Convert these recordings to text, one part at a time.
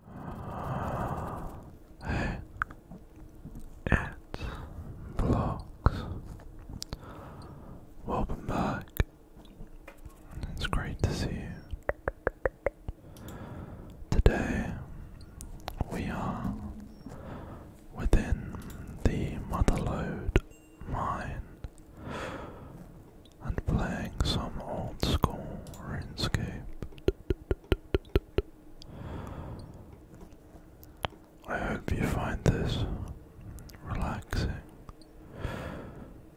It's blocks. Welcome back. It's great to see you. Today we are within the Motherlode mine and playing some old school RuneScape. I hope you find this relaxing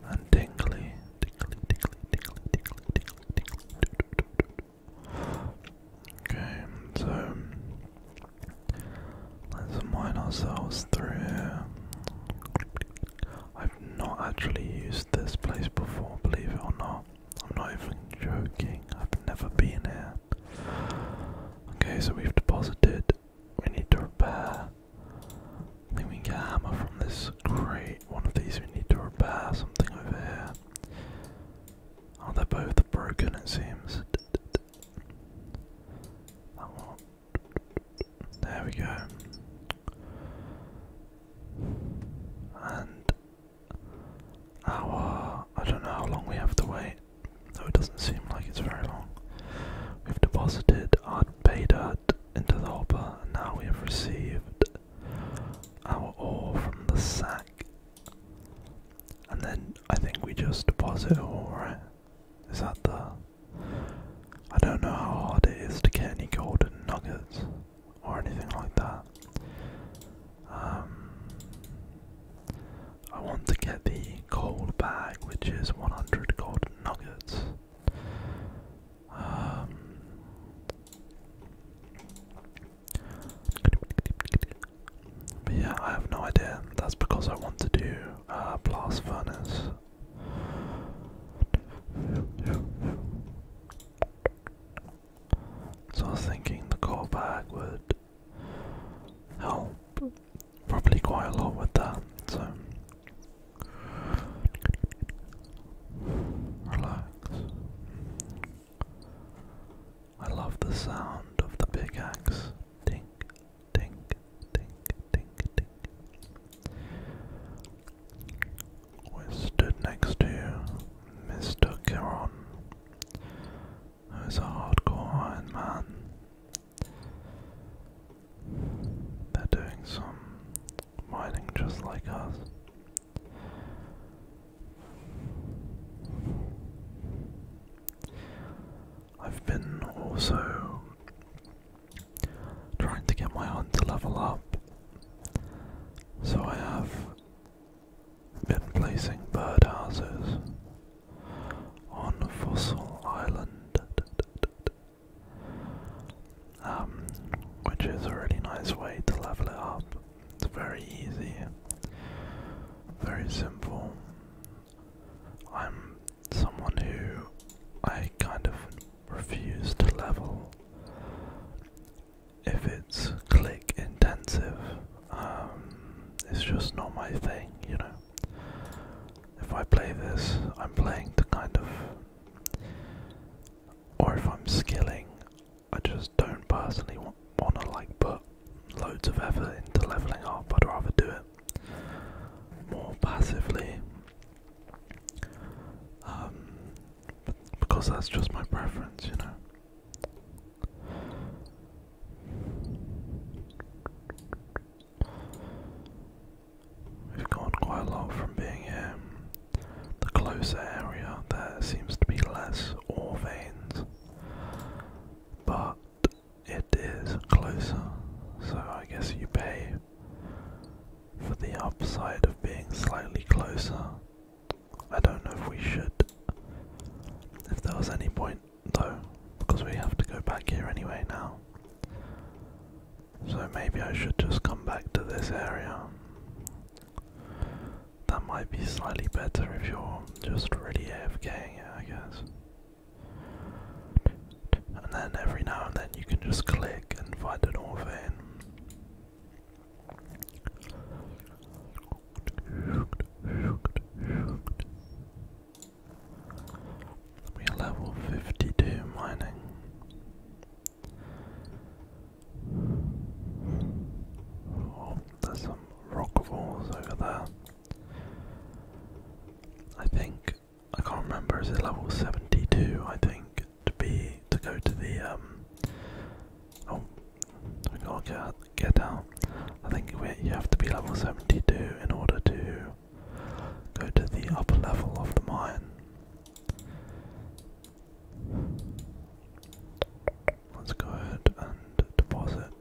and tingly, tingly, tingly, tingly, tingly, tingly, tingly. Okay, so let's mine ourselves through here. I've not actually used this place before, believe it or not. I'm not even joking, I've never been here. Okay, so we've deposited. We need to repair. I think we can get a hammer from this crate. One of these we need to repair. Something over here. Oh, they're both broken, it seems. There we go and our I don't know how long we have to wait, though it doesn't seem like it's very long. We've deposited our pay into the hopper, and now we have received our ore from the sack. And then I think we just deposit all, right? Is that the. I don't know how hard it is to get any golden nuggets or anything like that. Um, I want to get the gold bag, which is 100 gold nuggets. Um, but yeah, I have no idea. That's because I want to do a uh, blast furnace. So I was thinking the core bag would help probably quite a lot with that. So relax. I love the sound of the big axe. Tink, tink, tink, tink, tink. We stood next to Mr. Kiron, He's a hardcore Iron Man. They're doing some mining just like us. I've been also trying to get my own to level up. So I have been placing birdhouses on Fossil Island, um, which is a really nice way to level it up. It's very easy, very simple. I'm someone who I kind of refuse to level if it's click intensive, um, it's just not my thing, you know. If I play this, I'm playing to kind of, or if I'm skilling, I just don't personally want, want to like put loads of effort into leveling up. I'd rather do it more passively um, because that's just my preference, you know. We've gone quite a lot from being in the closer area. There seems to be less ore veins, but it is closer, so I guess you pay for the upside of being slightly closer. I don't know if we should. If there was any point though, because we have to go back here anyway now. So maybe I should just come back to this area. That might be slightly better if you're just really AFKing it, I guess. And then every now and then you can just click and find an orphan. We are level 52 mining. Oh, there's some rock walls over there. I think, I can't remember, is it level 72? I think to be to go to the um oh we gotta get, out. I think we, you have to be level 72 in order to go to the upper level of the mine. Let's go ahead and deposit.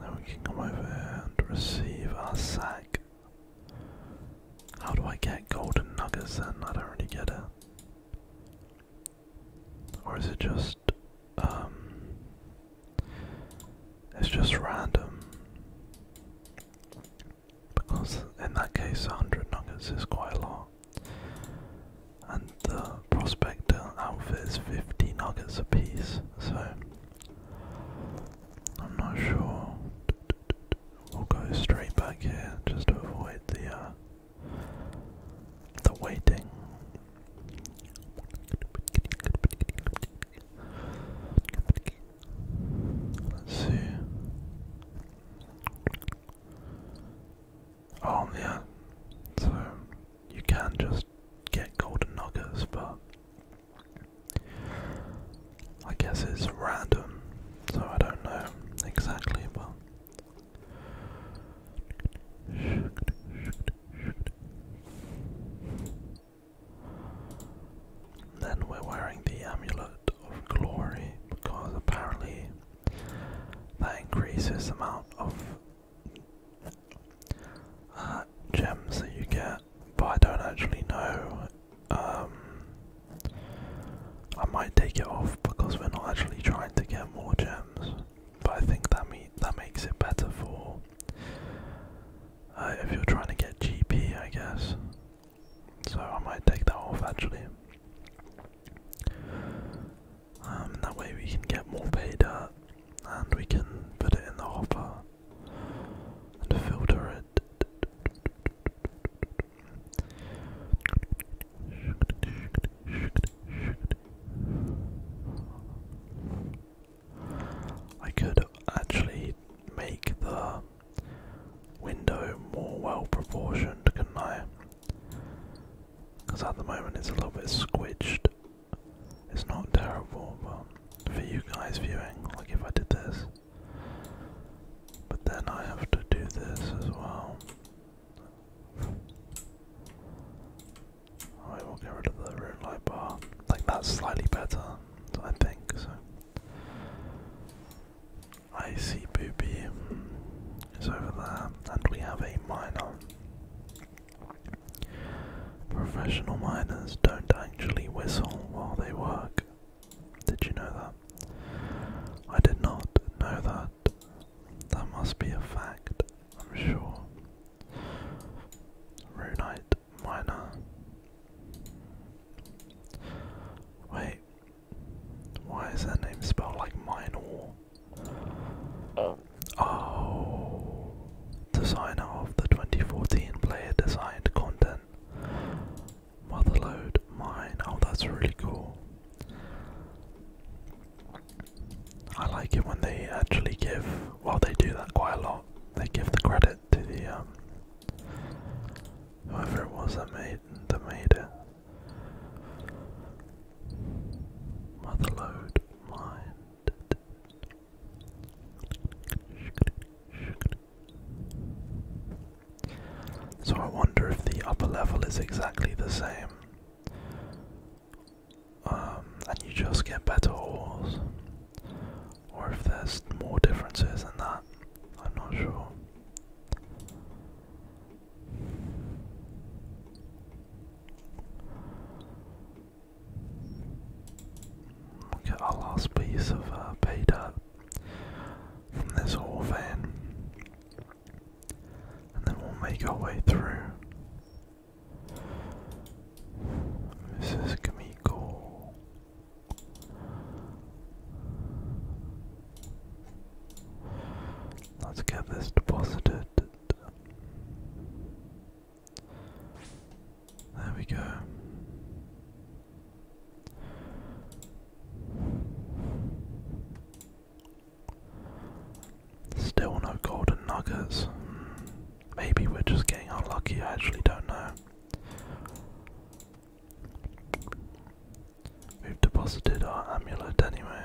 Now we can come over here and receive our sack. How do I get golden nuggets then? I don't really get it. Or is it just um it's just random. Because in that case 100 nuggets is quite a lot. And the prospector outfit is 50 nuggets apiece, so I'm not sure. We'll go straight back here just to avoid the uh, the waiting. Let's see. Oh yeah, so you can just get golden nuggets, but I guess it's random, so I don't know exactly, but. Then we're wearing the amulet of glory because apparently that increases amount of uh, gems that you get, but I don't actually know. Um, I might take it off because we're not actually trying to get more gems, but I think that me that makes it better for uh, if you're trying to get GP, I guess. So I might take that off actually. Um, that way we can get more paid up and we can put it in the hopper and filter it. I could actually make the window more well proportioned, couldn't I? Because at the moment it's a little bit squished. It's not terrible, but for you guys viewing, like if I did this, but then I have to do this as well. I will get rid of the room light bar. Like that's slightly better, I think. So I see Booby is over there, and we have a miner. Professional miners don't actually whistle while they work. Did you know that? I did not know that. That must be a fact, I'm sure. Runite miner. Wait, why is their name spelled like Minor? Oh. Oh, designer of the 2014 player designed content. Motherload mine. Oh, that's really cool. I like it when they actually give. Well, they do that quite a lot. They give the credit to the um, whoever it was that made that made it. Motherload mine. So I wonder if the upper level is exactly the same. Um, and you just get better ores. Or if there's more differences in that. I'm not sure. We'll get our last piece of uh, pay from this whole van. And then we'll make our way through. This is Kamiko. Let's get this deposited. There we go. Still no golden nuggets. Hmm, maybe we're just getting unlucky, I actually don't know. We've deposited our amulet anyway,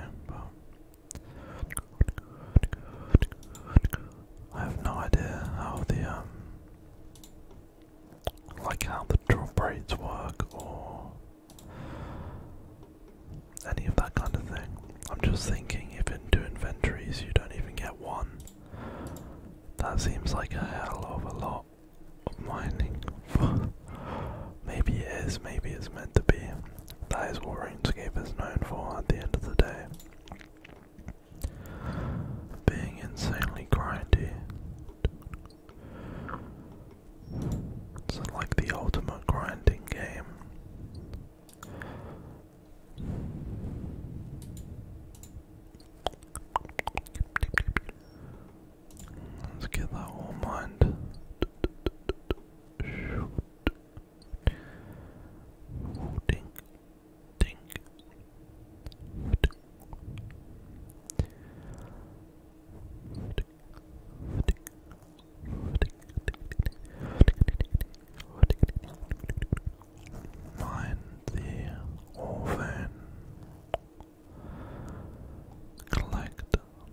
I have no idea how the um like how the draw braids work or any of that kind of thing. I'm just thinking if into inventories you don't even get one. That seems like a hell of a lot of mining. maybe it is, maybe it's meant to be. That is what RuneScape is known for at the end of the day being insanely grindy. It's like the ultimate grinding game. Let's get that all mined. Dink. Dink. Mind the orphan. Collect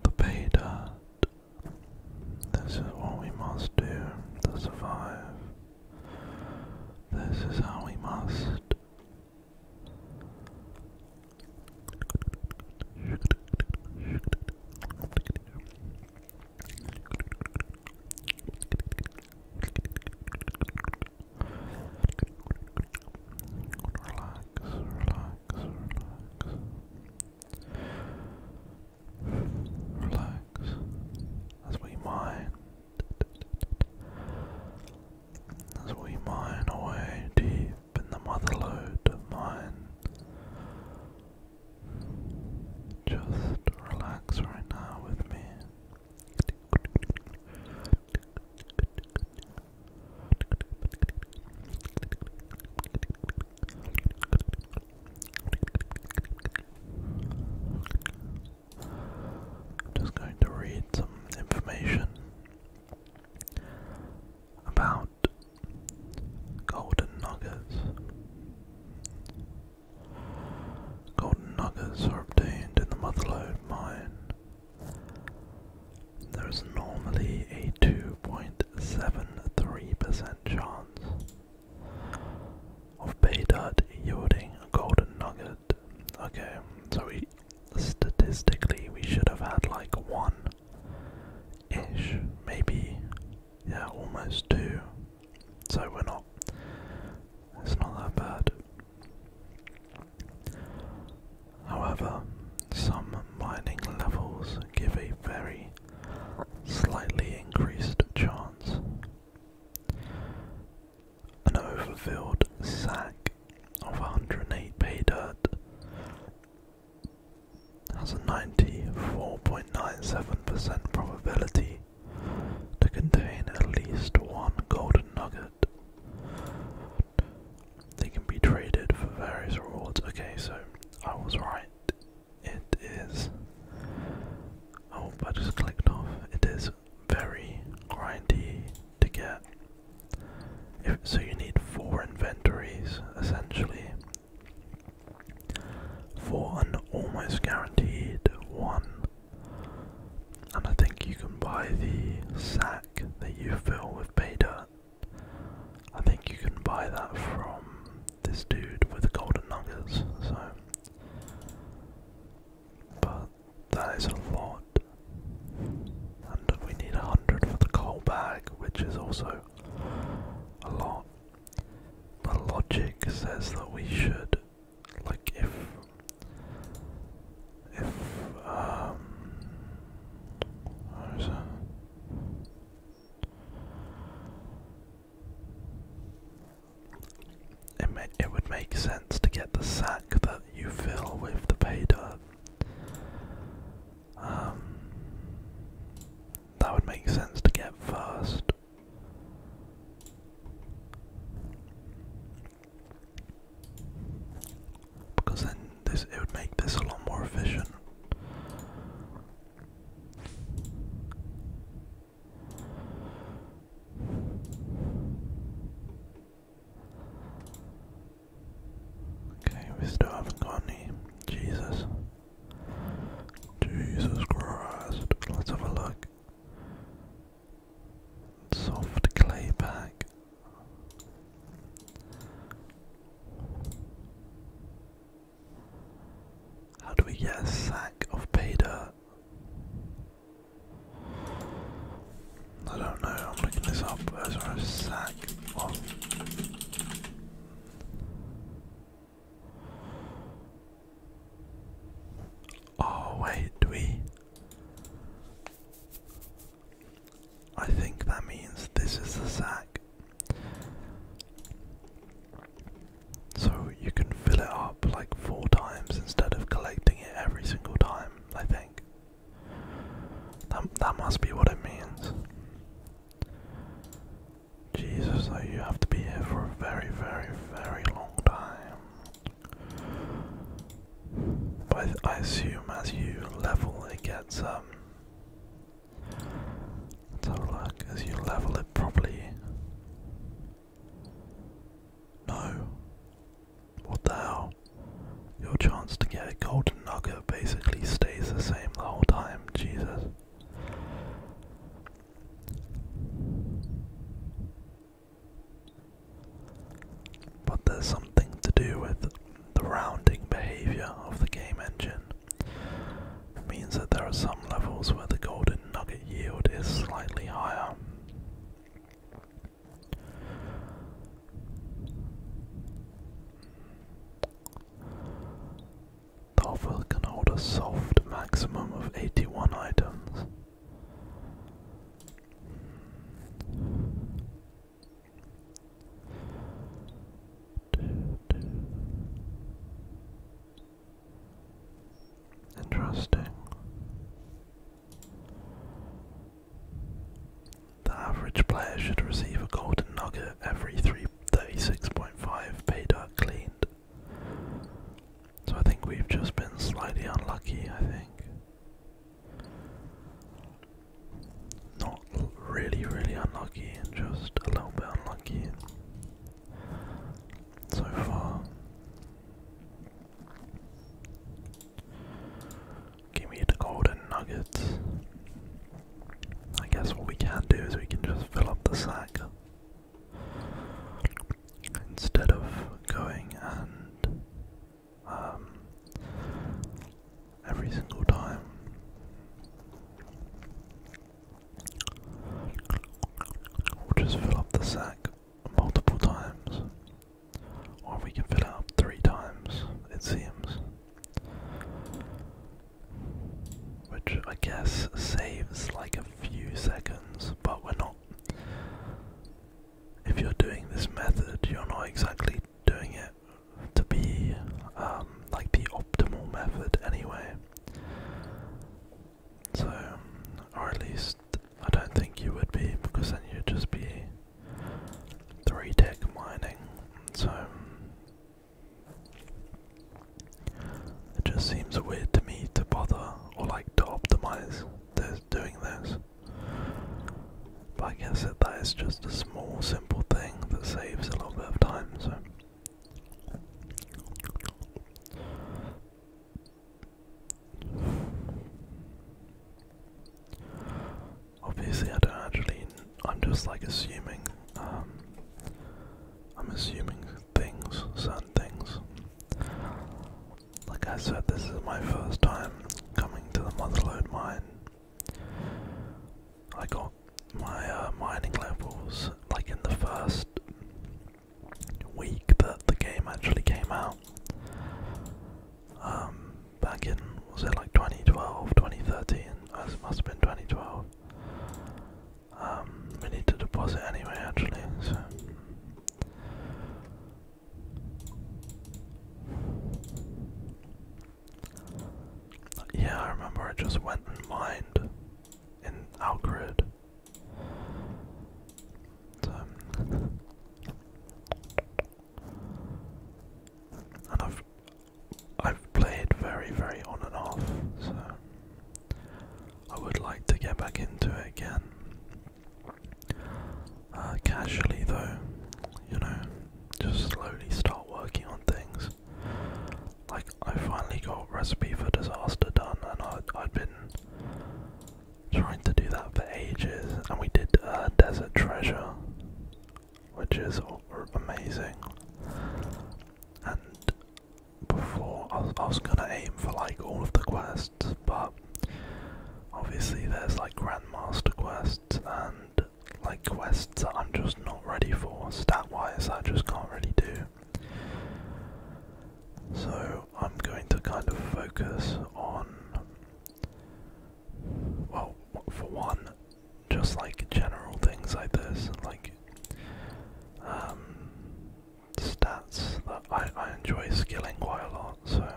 the pay This is what we must do to survive. This is how we must. Relax, relax, relax. Relax. That's what mine. That's what mine away deep in the motherlode mine. Just relax right now with me. I'm just going to read some information about golden nuggets. Golden nuggets are obtained in the Motherlode mine. There is normally a 2.73% chance of beta yielding a golden nugget. Okay, so we statistically we should have had like one ish, maybe yeah, almost two. So we're not it's not that bad. However, some mining levels give a very slightly increased chance an overfilled sack of 108 pay dirt has a 94.97% probability to contain at least one golden nugget. They can be traded for various rewards. Okay, so I was right. It is. I oh, I just clicked off. It is very grindy to get. so you need four inventories essentially for an almost guaranteed one. And I think you can buy the sack that you fill with beta. I think you can buy that from this dude with the golden nuggets, so but that is a lot. And we need a hundred for the coal bag, which is also a lot. The logic says that we should like if if um it, it would make sense to get the sack that you fill with the pay dirt. Um, that would make sense to get first. Because then this it would make this a lot more efficient. Okay, we still have Jesus. Jesus Christ. Let's have a look. Soft clay pack. How do we get a sack of pay I don't know, I'm looking this up. Where's our sack Oh, wait, we. I think that means this is the sack. So you can fill it up like four times instead of collecting it every single time, I think. That, that must be what it means. Jesus, though, you have to be here for a very, very, very long time. But I, assume as you level, it gets um, so, like, as you level it properly. No. What the hell? Your chance to get a golden nugget basically stays the same the whole time, Jesus. But there's something to do with the rounding behavior of the game engine means that there are some levels where the golden nugget yield is slightly higher. The offer can hold a soft maximum of 81 items. Interesting. The average player should receive a golden nugget every 336.5 beta cleaned. So I think we've just been slightly unlucky, I think. Not really, really unlucky, just a little bit unlucky so far. Give me the golden nuggets. I guess what we can do is we can just fill up the sack instead of going and um, every single time We'll just fill up the sack multiple times. Or we can fill up three times, it seems. Which I guess saves like a few seconds, but we're not. If you're doing this method, you're not exactly doing it to be um, like the optimal method anyway. So, um, or at least I don't think you would be, because then you'd just be three deck mining. So, um, it just seems weird to me to bother or like to optimize this, doing this. But I guess that that is just a small, simple thing that saves a little bit of time. So. Obviously, I don't actually. I'm just like assuming. Um, I'm assuming things, certain things. Like I said, this is my first time coming to the Motherlode Mine. I got my uh, mining levels like in the first week that the game actually came out. Um, back in, was it like 2012, 2013? Oh, it must have been 2012. Um, we need to deposit anyway, actually, Yeah, I remember I just went and mined in Algrid. So, um, and I've I've played very very on and off, so I would like to get back into it again. Uh, casually though, you know, just slowly start working on things. Like I finally got Recipe for Disaster done, and I, I'd been trying to do that for ages. And we did uh, Desert Treasure, which is amazing. And before I was, I was gonna aim for like all of the quests, but obviously there's like Grandmaster quests and like quests that I'm just not ready for. Stat wise, I just can't really do. So I'm going to kind of focus on, well, for one, just like general things like this, like um, stats that I, I enjoy skilling quite a lot, so.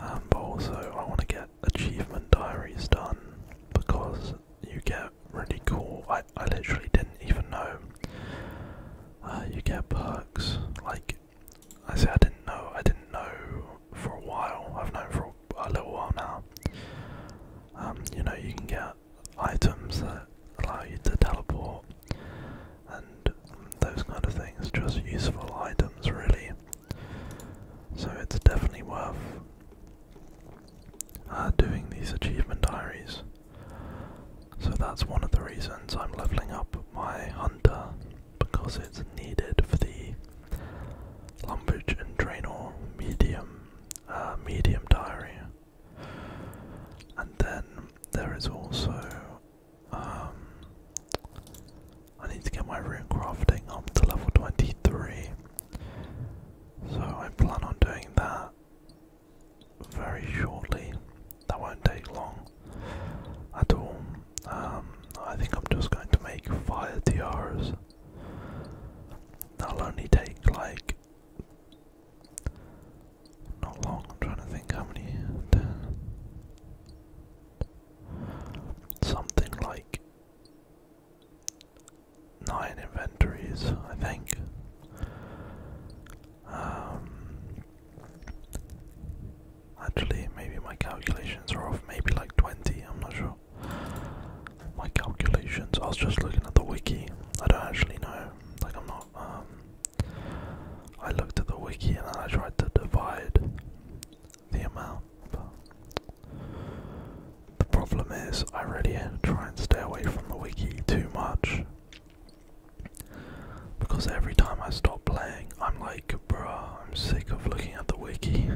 Um, but also, I want to get achievement diaries done because you get really cool. I, I literally didn't even know uh, you get perks. Like I say, I didn't know. I didn't know for a while. I've known for a, little while now. Um, you know, you can get items that allow you to teleport and those kind of things. Just useful items, really. So it's definitely worth uh, doing these achievement diaries. So that's one of the reasons I'm leveling up my hunter because it's needed for the Lumbridge and Draenor medium uh, medium diary. And then there is also um, I need to get my rune crafting up to level 23 so I plan on doing that very shortly. That won't take long at all. Um, I think I'm just going to make fire tiaras. That'll only take like not long. I'm trying to think how many. Ten, something like nine inventories, I think. Um, actually, maybe my calculations are off, maybe like 20, I'm not sure. My calculations, I was just looking at the wiki, I don't actually know, like I'm not, um, I looked at the wiki and I tried to divide the amount, the problem is, I really try and stay away from the wiki too much. Because every time I stop playing, I'm like, bruh, I'm sick of looking at the wiki.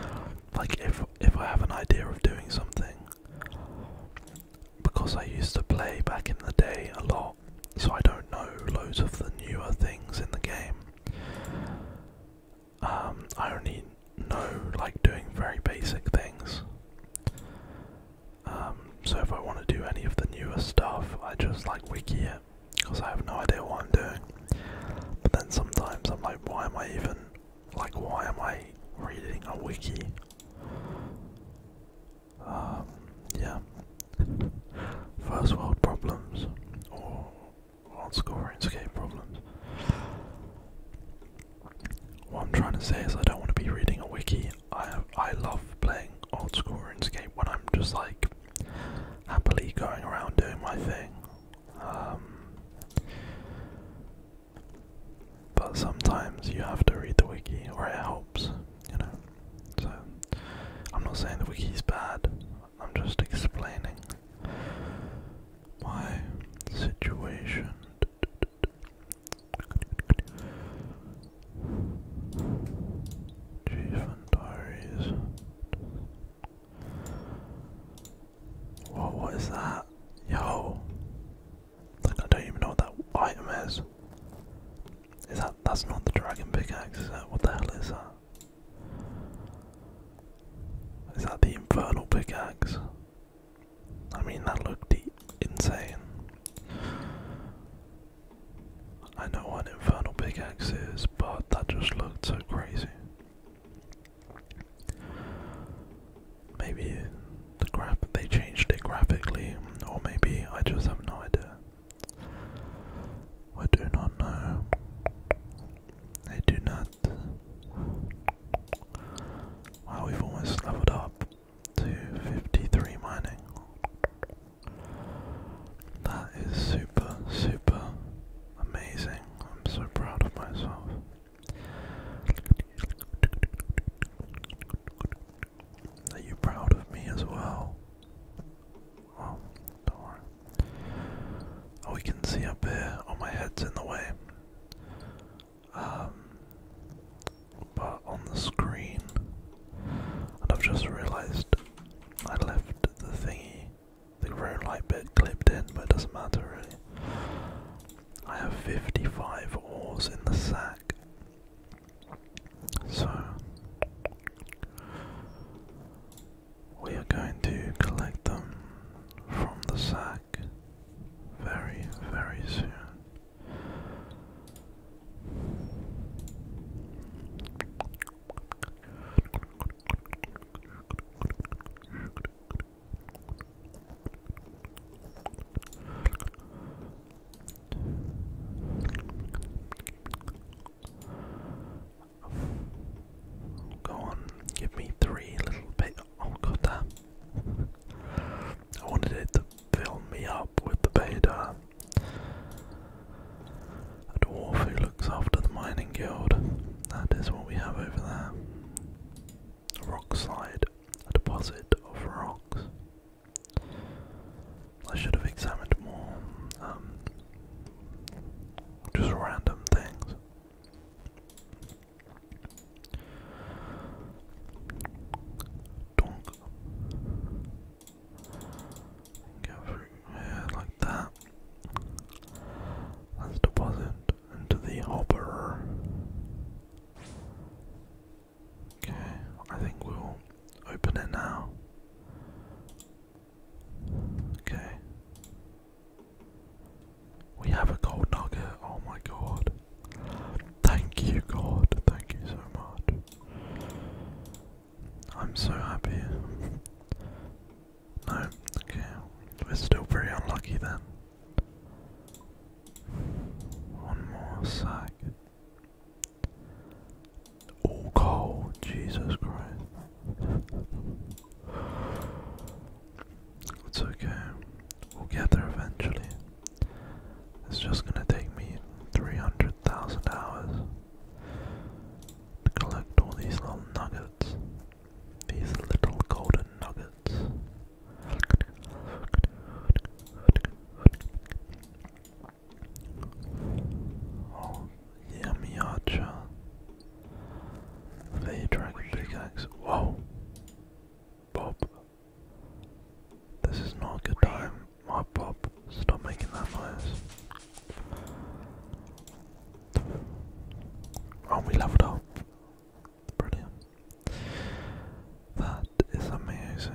like, if, if I have an idea of doing something, because I used to play back in the day a lot, so I don't know loads of the newer things in the game. Um, I only know like doing very basic things. Um, so if I want to do any of the newer stuff, I just like wiki it because I have no idea what I'm doing. But then sometimes I'm like, why am I even like, why am I reading a wiki? Um, yeah. First world problems, World score RuneScape problems. What I'm trying to say is I don't want to be reading a wiki. I I love playing old school RuneScape when I'm just like happily going around doing my thing. Um, but sometimes you have to read the wiki, or it helps, you know. So I'm not saying the wiki's bad. I'm just explaining my situation. Chief Diaries. What, what is that? Yo! I don't even know what that item is. Is that, that's not the dragon pickaxe, is that? What the hell is that? Is that the infernal pickaxe? I mean, that looked insane. I know what infernal pickaxe but that just looked so crazy. Maybe the graph they changed it graphically, or maybe I just have no idea. I do not know. I do not. Wow, we've almost leveled up to 53 mining. That is super, super amazing. I'm so proud of myself. Are you proud of me as well? Oh, we can see up here. Oh, my head's in the way. Um, but on the screen, and I've just realised I left the thingy, the road light bit clipped in, but it doesn't matter really. I have 55 ores in the sack, so we are going to collect them from the sack very, very soon. Go on, give me three little bit Oh god I wanted it to fill me up with the Vader. A dwarf who looks after the mining guild. That is what we have over there. Rock slide. A deposit of rocks. I should have examined more um, just random things. Donk. Go like that. Let's deposit into the hopper. Okay, I think we'll open it now. Okay. We have a gold nugget, oh my god. Thank you, God, thank you so much. I'm so happy. No, okay, we're still very unlucky then. One more sack. All coal, Jesus Christ. It's okay. We'll get there eventually. It's just gonna take me 300,000 hours to collect all these little nuggets. These little golden nuggets. Oh, yummy archer. The dragon pickaxe. Whoa. Bob. This is not a good time. My Bob, stop making that noise. Oh, we leveled up. Brilliant. That is amazing.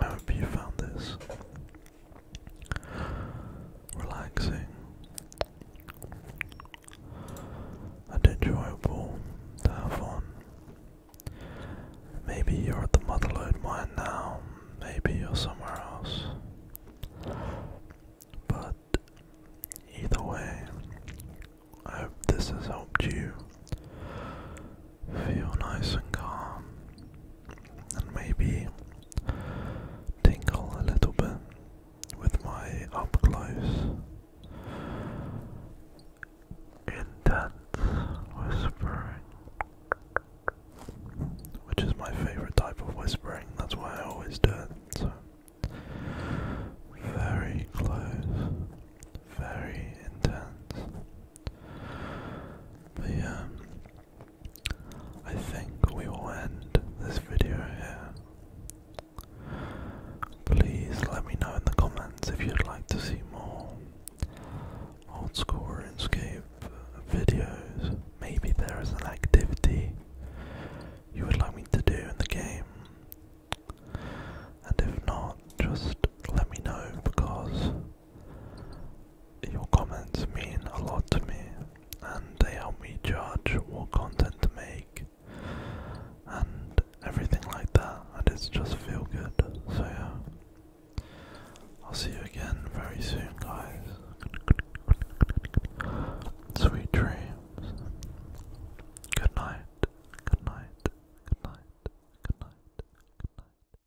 I hope you found this relaxing and enjoyable to have on. Maybe you're at the Motherlode Mine now, maybe you're somewhere else. But either way, I hope this has helped you feel nice and calm and maybe tingle a little bit with my up close intense whispering which is my favorite type of whispering that's why I always do it so very close very intense I think we will end this video here. Please let me know in the comments if you'd like to see more old school RuneScape videos. Maybe there is an activity you would like me to do in the game. And if not, just let me know because your comments mean a lot to me, and they help me judge what content to make and everything like that, and it's just feel good. So, yeah, I'll see you again very soon, guys. Sweet dreams. Good night. Good night. Good night. Good night. Good night.